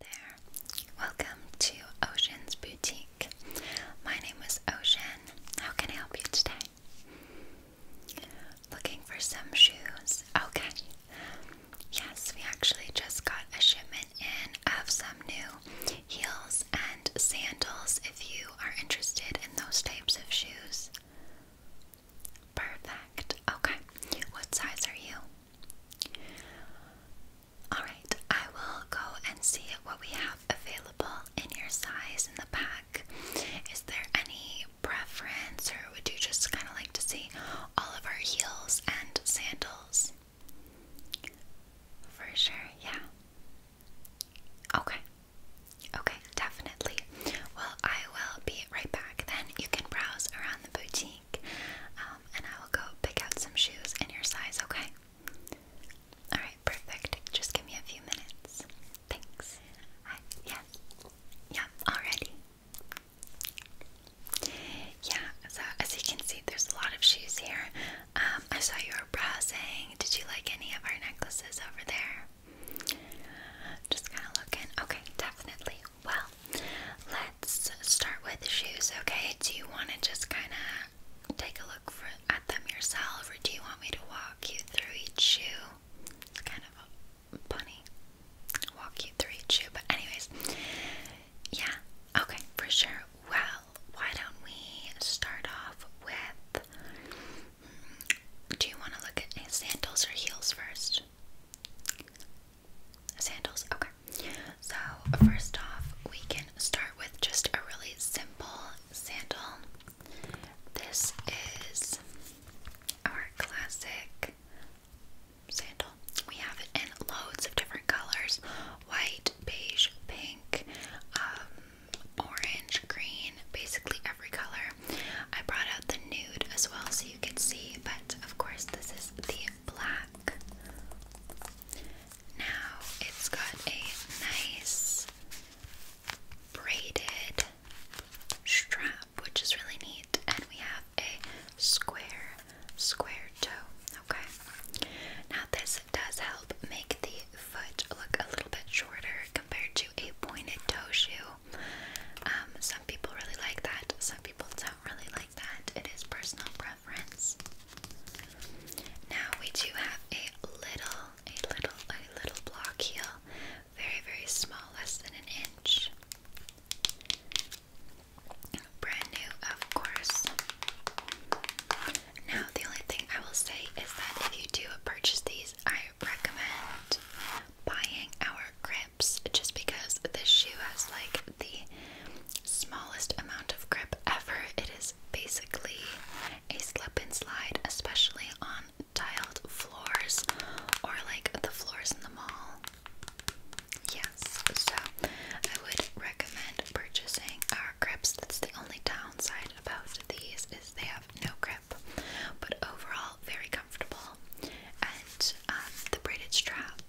Hello there. Welcome to Ocean's Boutique. My name is Ocean. How can I help you today? Looking for some shoes. Okay. Yes, we actually just got a shipment in of some new heels and sandals if you are interested in those types of shoes. Perfect. Okay. What size are you? Alright, I will go and see what we have available in your size in the pack. Is there any preference, or would you just kind of like to see all of our heels and sandals? For sure, yeah. Okay, okay, definitely. Well, I will be right back then. You can browse around the boutique um, and I will go pick out some shoes in your size, okay? Alright, perfect. Just give me a few minutes. Thanks. yes. Yeah, already. Yeah, so as you can see, there's a lot of shoes here. Um, I saw you were browsing. Did you like any of our necklaces over there? Just kind of looking. Okay, definitely. Well, let's start with the shoes, okay? Do you want to just kind of take a look at them yourself, or do you want me to walk you through each shoe? It's kind of funny. Walk you through each shoe, but, anyways, yeah, okay, for sure. Well, why don't we start off with. Hmm, do you want to look at sandals or heels first? Sandals, okay. So, first off, we can start with just a really simple sandal. This is our classic sandal. We have it in loads of different colors white, beige, pink, um, orange, green, basically every color. I brought out the nude as well so you can see, but of course, this is the black. Now it's got a nice braided strap, which is really neat, and we have a square, square toe. Okay, now this does help make the foot look a little bit shorter compared to a pointed toe shoe. Um, some people really like that, some people don't really like that. It is personal preference reference. Now we do have a little, a little, a little block heel, very, very small, less than an inch. Brand new, of course. Now, the only thing I will say is that if you do purchase these, I recommend buying our grips just because this shoe has like the smallest amount of grip ever. It is basically a slip and slide, especially on tiled floors or like the floors in the mall. Yes, so I would recommend purchasing our grips. That's the only downside about these is they have no grip, but overall very comfortable. And um, the braided strap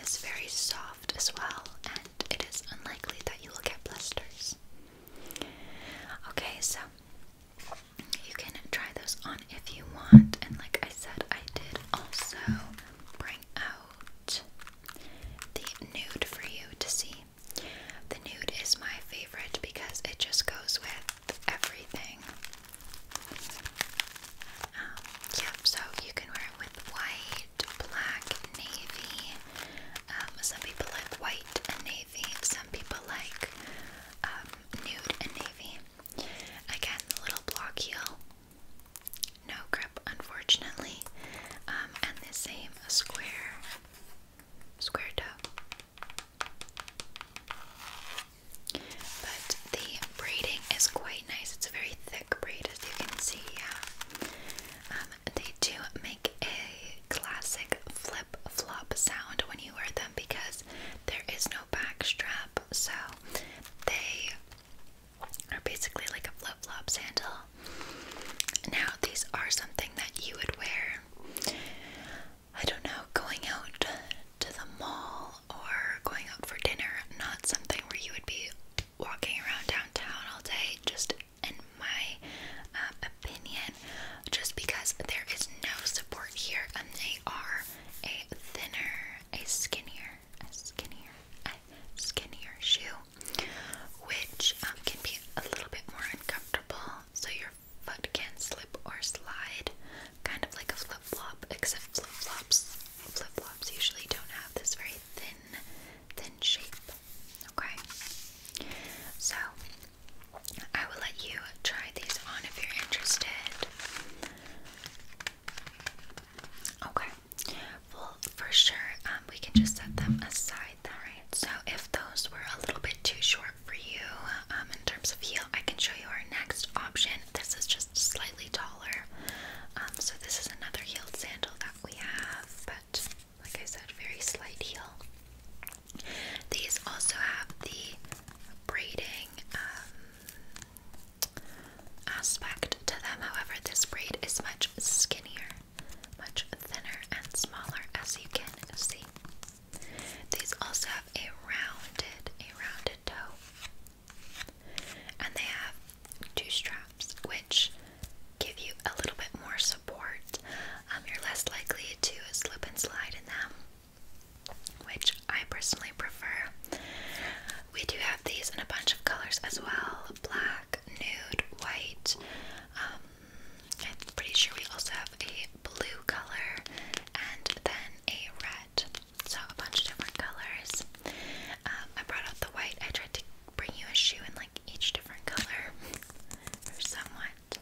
is very soft as well, and it is unlikely that you will get blisters. Okay, so you can try those on if you want, and like I said, I did also bring out the nude for you to see. The nude is my favorite because it just goes with everything. Um, yep, so you can wear it with white black navy. Um, some people like white navy. Some people like um, nude navy. Again, little block heel. No grip, unfortunately. Um, and the same square, square toe. But the braiding is quite nice. It's a very thick braid great as you can see, yeah. Um, they do make a classic flip flop sound when you wear them because there is no back strap, so they are basically like a flip flop sandal. Now, these are something that you would wear, I don't know, going out to the mall or going out for dinner, not something where you would be walking around downtown all day, just in my um, opinion, just because there is no support here and they are a thinner, a skinnier, a skinnier, a skinnier shoe, which um, can be a little bit more uncomfortable, so your foot can slip or slide, kind of like a flip flop, except flip flops. Flip flops usually don't have this very thin, thin shape. Okay, so I will let you try these on if you're interested. Okay, well, for sure, um, we can just set them aside, then, right? So, if those were a little bit too short for you um, in terms of heel, I can show you our next option. This is just slightly taller. Um, so, this is another heeled sandal that we have, but like I said, very slight heel. These also have the braiding um, aspect to them, however, this braid is much skinnier, much thinner, and smaller, as you can see. These also have a rounded, a rounded toe. And they have two straps, which give you a little bit more support. Um, you're less likely to slip and slide in them, which I personally prefer. We do have these in a bunch of colors as well black, nude, white. Um, I'm pretty sure we also have a blue color and then a red. So, a bunch of different colors. Um, I brought out the white. I tried to bring you a shoe in like each different color or somewhat.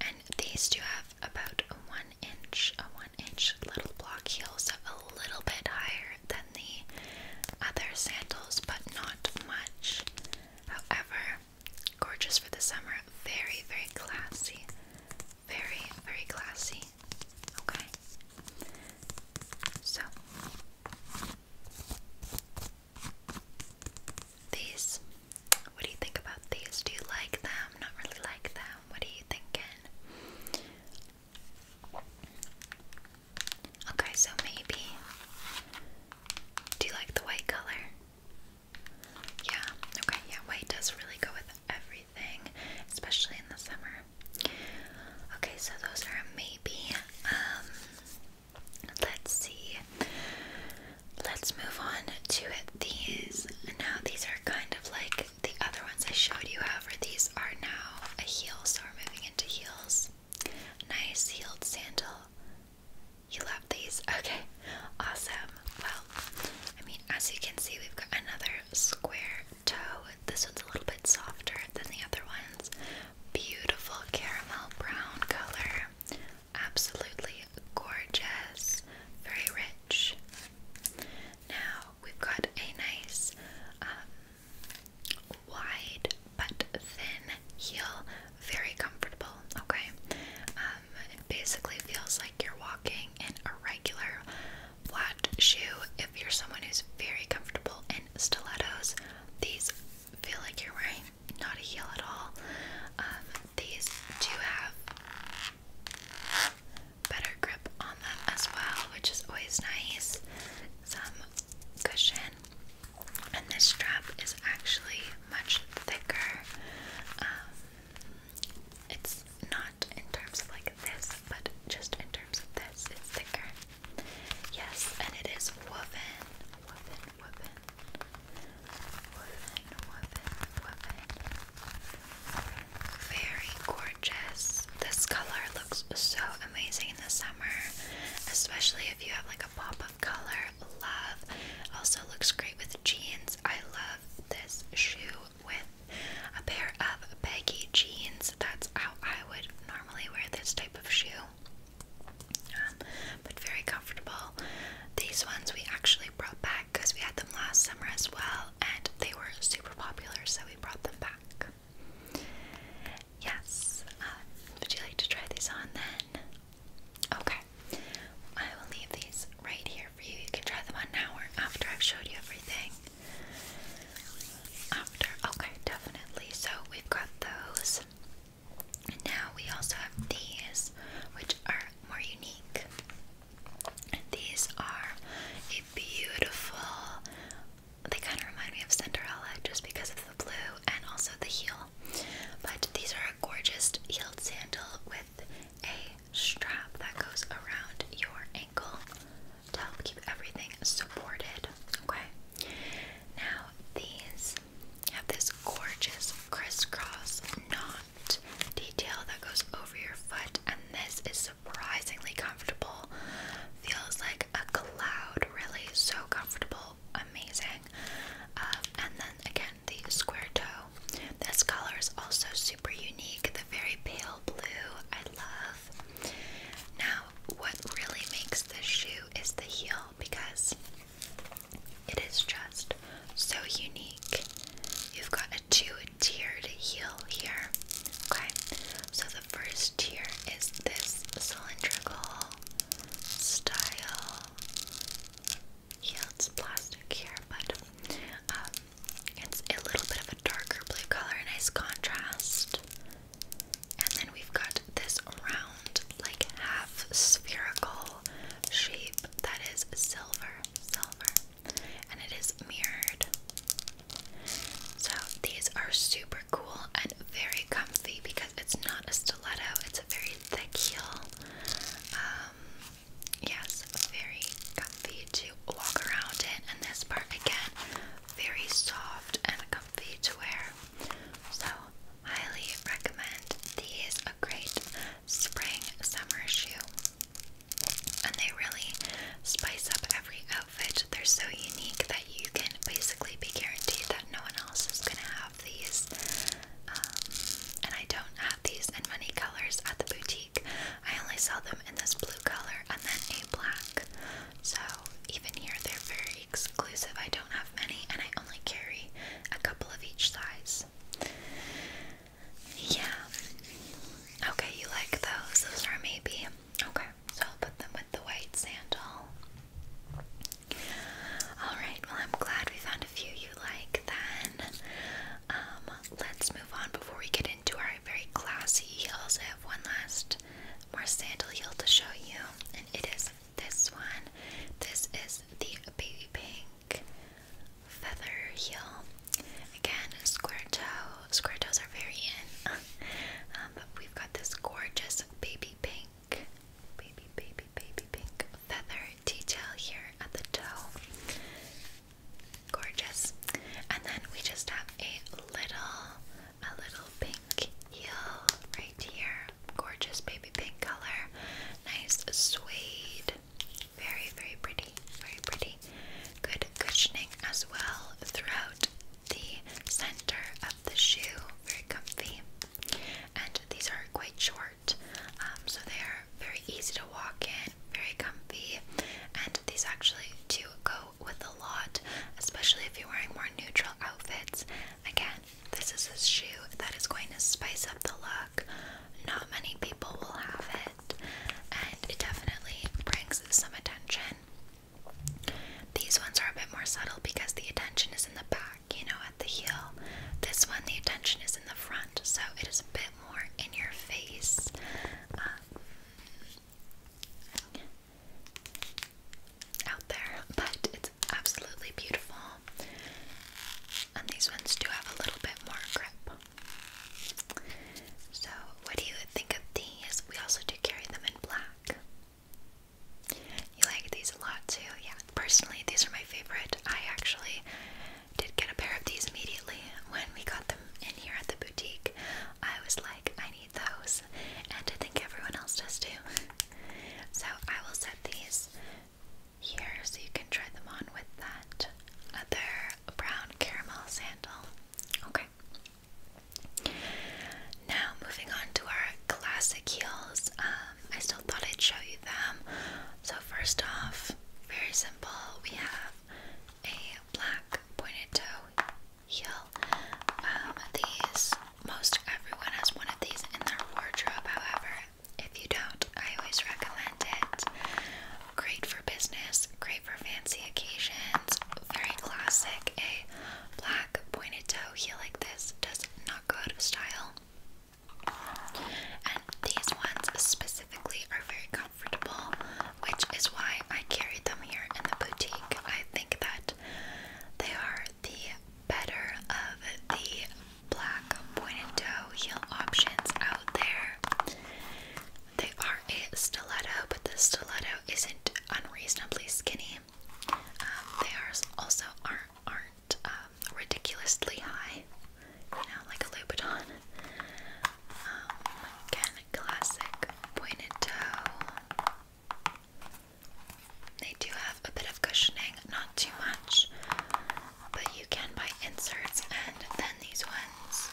And these do have about a one inch, a one inch little block heels, so a little bit higher than the other sandals, but not much. However, gorgeous for the summer, very, very classy. Very, very classy. Okay. So these, what do you think about these? Do you like them? Not really like them. What are you thinking? Okay, so maybe. Do you like the white color? Yeah, okay, yeah, white does really go with everything, especially in the summer. Okay, so those are maybe. Um, let's see. Let's move on to these. Now, these are kind of like the other ones I showed you, however, these are now a heel, so we're moving into heels. Nice heeled sandal. You love these? Okay, awesome. Well, I mean, as you can see, we've got another square toe. This one's a little bit softer than the other ones. Beautiful caramel brown color. Absolutely gorgeous. Very rich. Now we've got a nice um, wide but thin heel. Very comfortable. Okay. Um, it basically feels like you're walking in a regular flat shoe if you're someone who's very comfortable in stilettos. These feel like you're wearing not a heel at all. Um, these do have better grip on them as well, which is always nice. Some cushion. And this strap is actually much thicker. Um, it's not in terms of like this, but just in terms of this, it's thicker. Yes, and it is woven, woven, woven, woven, woven, woven. Very gorgeous. This color looks so amazing in the summer, especially if you have like a pop of color. Love. Also looks great with jeans. I love this shoe with a pair of baggy jeans. That's how I would normally wear this type of shoe, um, but very comfortable. These ones we actually brought back because we had them last summer as well, and they were super popular, so we brought them back. Yes, uh, would you like to try these on then? Okay, I will leave these right here for you. You can try them on now or after I've showed you everything after. Okay, definitely. So we've got those. And now we also have these, which are more unique. And these are a beautiful, they kind of remind me of Cinderella just because of the blue and also the heel. But these are a gorgeous heel sandal with a strap that goes around your ankle to help keep everything supported. Okay. Now these have this gorgeous crisscross knot detail that goes over your foot, and this is surprisingly comfortable. Feels like a cloud, really so comfortable, amazing. Um, and then again, the square toe. This color is also super unique. The very pale blue. I love off. Now, what really makes this shoe is the heel because it is just so unique. You've got a two tiered heel here. Okay, so the first tier is this cylindrical style. Heel, it's plastic here, but um, it's a little bit of a darker blue color, nice contrast. And then we've got this round, like half spherical shape that is silver, silver, and it is mirrored. So these are super cool and very comfy because it's not a stiletto, it's a very thick heel. Um, yes, very comfy to walk around in, and this part again, very soft and comfortable comfy to wear. So, highly recommend these. A great spring summer shoe. And they really spice up every outfit. They're so unique that you can basically be guaranteed that no one else is going to have these. Um, and I don't have these in many colors at the boutique. I only sell them in this blue color and then a black. So even here, they're very exclusive. I don't have many, and I only carry a couple of each size. Yeah. Okay, you like those? Those are maybe. Okay, so I'll put them with the white sandal. Alright, well, I'm glad we found a few you like then. Um, let's move on before we get into our very classy heels. I have one last more sandal heel to show you, and it is this one. This is the baby pink feather heel. Again, square toe. Square toes are very in, um, we've got this gorgeous baby pink, baby, baby, baby pink feather detail here at the toe. Gorgeous. And then we just have a little a little pink heel right here. Gorgeous baby pink color. Nice suede. Very, very pretty. Very pretty. Good cushioning as well throughout the center of the shoe. Very comfy. And these are quite short, um, so they are very easy to walk in, very comfy. And these actually do go with a lot, especially if you're wearing more neutral outfits. Again, this is a shoe that is going to spice up the look. Not many people will have it, and it definitely brings some attention. These ones are a bit more subtle because the attention is in the back, you know, at the heel. This one, the attention is in the front, so it is a bit more in your face. Um, out there, but it's absolutely beautiful. And these ones do have a little bit more grip. So, what do you think of these? We also do carry them in black. You like these a lot too? Yeah, personally, these are my favorite. I actually did get a pair of these immediately when we got them in here at the boutique. I was like, I need those, and I think everyone else does too. so I will set these here so you can try them on with that other brown caramel sandal. Okay. Now moving on to our classic heels. Um, I still thought I'd show you them. So first off, very simple. We have a black pointed toe heel. Um, these, most everyone has one of these in their wardrobe, however, if you don't, I always recommend it. Great for business, great for fancy occasions, very classic. A black pointed toe heel like this does not go out of style. And these ones specifically are very comfortable, which is why I carry them here in the boutique. I think that they are the better of the black pointed heel options out there. They are a stiletto, but the stiletto isn't unreasonably skinny. Um, they are also aren't aren't um, ridiculously high, you know, like a Louboutin. Um, again, classic pointed toe. They do have a bit of cushioning, not too much, but you can buy inserts and then these ones.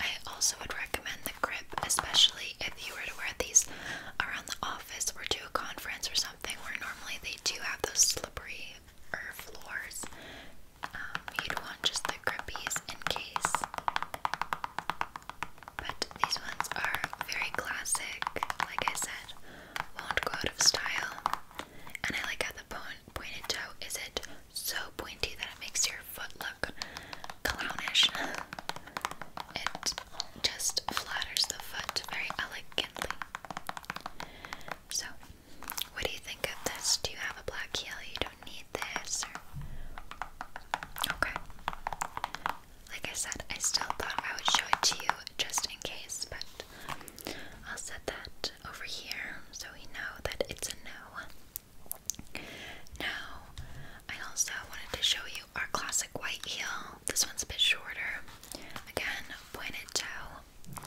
I also would recommend the grip, especially if you were to wear these around the office or to a conference or something where normally they do have those slippery er, floors. Um, you'd want just the grippies in case but these ones are very classic, like I said, won't go out of style. And I like how the pointed toe isn't so pointy that it makes your foot look clownish. It just flatters the foot very elegantly. So, what do you think of this? Do you have a black heel? You don't need this? Or... Okay like I said, I still thought I would show it to you just in case, but I'll set that over here so we know that it's a no. Now, I also wanted to show you our classic white heel. This one's a bit shorter. Again, pointed toe.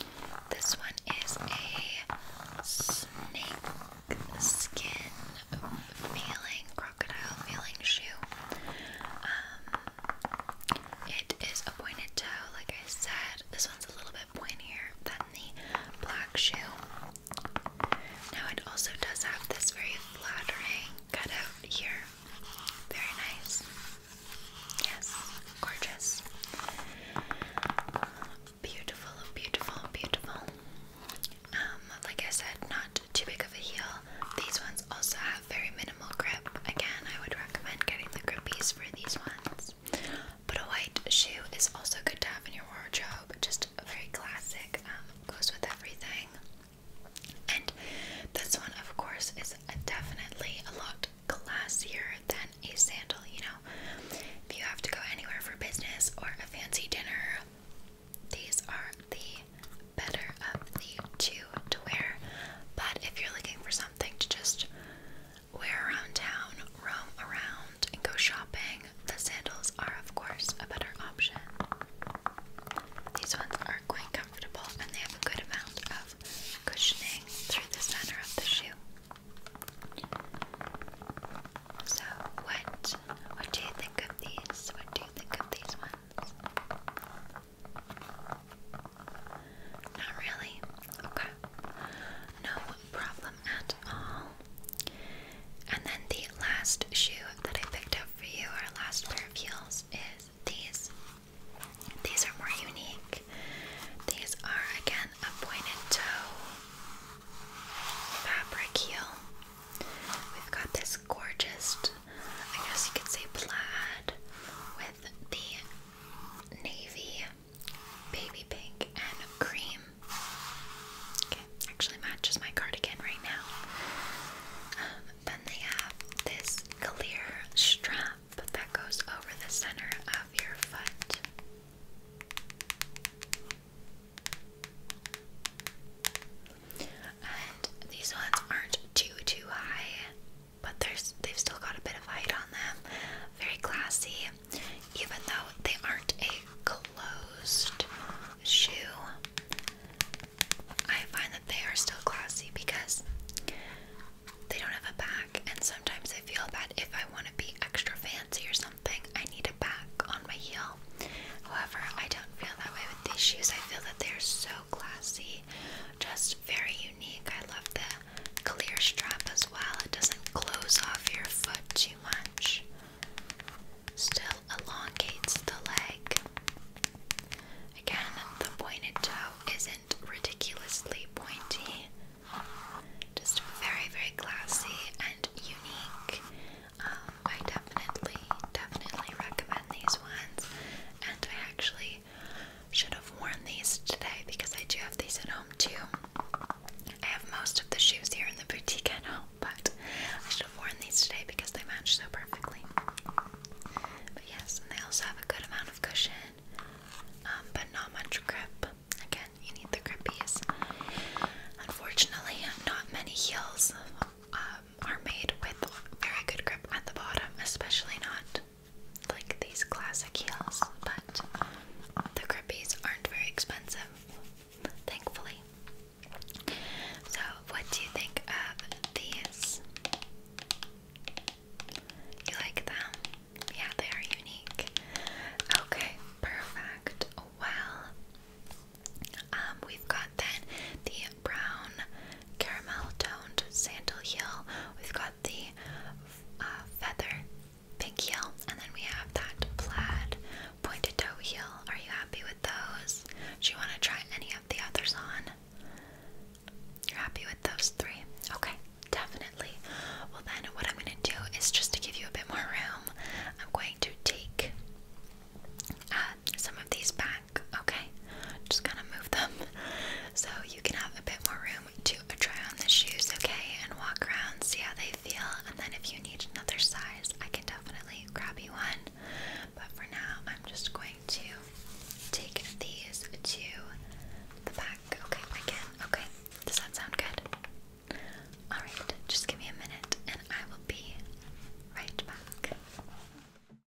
This one is a snake skin feeling, crocodile feeling shoe. Um, it is a pointed toe, like I said. This one's a little bit pointier than the black shoe. Now, it also does have this very flattering cutout here. Very nice. Yes, gorgeous. Beautiful, beautiful, beautiful. Um, like I said, not too big of a heel. These ones also have very minimal grip. Again, I would recommend getting the grippies for these ones. But a white shoe is also good to have in your wardrobe. Just very classic, um, goes with everything. And this one, of course, is definitely a lot classier than a sandal. You know, if you have to go anywhere for business or a fancy dinner, these are the better of the two to wear. But if you're looking for something to just wear around town, roam around, and go shopping, the sandals are, of course, a better option. These ones are quite comfortable and they have a good amount of cushioning through the center of the shoe. So, what what do you think of these? What do you think of these ones? Not really? Okay. No problem at all. And then the last shoe that I picked up for you, our last pair of heels, is these. These are more unique. These are again a pointed toe fabric heel. We've got this gorgeous I guess you could say plaid with the navy, baby pink, and cream. Okay, actually matches my cardigan right now. Um, then they have this clear strap that goes over the center of your foot and these ones aren't too too high, but there's they've still got a bit of height on them. Very classy, even though they aren't a closed shoe. I find that they are still classy because they don't have a back, and sometimes I feel that if I want to be extra fancy or something, I need a back on my heel. However, I don't feel that way these shoes. I feel that they're so classy, just very unique. I love the clear strap as well, it doesn't close off your foot too much, still elongates the leg. Again, the pointed toe isn't ridiculously pointy, just very, very classy and unique. Um, I definitely, definitely recommend these ones and I actually should have worn these today because I do have these at home too. I have most of the shoes here in the boutique at home, but I should have worn these today because they match so perfectly. But yes, and they also have a good amount of cushion, um, but not much grip. Again, you need the grippies. Unfortunately, not many heels um, are made with very good grip at the bottom, especially not like these classic heels, but the grippies aren't very expensive, thankfully. So, what do you think of these? You like them? Yeah, they are unique. Okay, perfect. Well, um, we've got then the brown caramel toned sandal heel. We've got the uh, feather pink heel, and then we have that plaid pointed toe heel. Are you happy with those? Do you want to try any of the others on? You're happy with those three? Okay, definitely. Well, then, what I'm going to do is just to give you a bit more room, I'm going to take uh, some of these back okay? Just kind of move them so you can have a bit more room to try on the shoes, okay? And walk around, see how they feel, and then if you need another size, I can definitely grab you one. But for now, I'm just going to take these to the back, okay? Again, okay? Does that sound good? Alright, just give me a minute and I will be right back.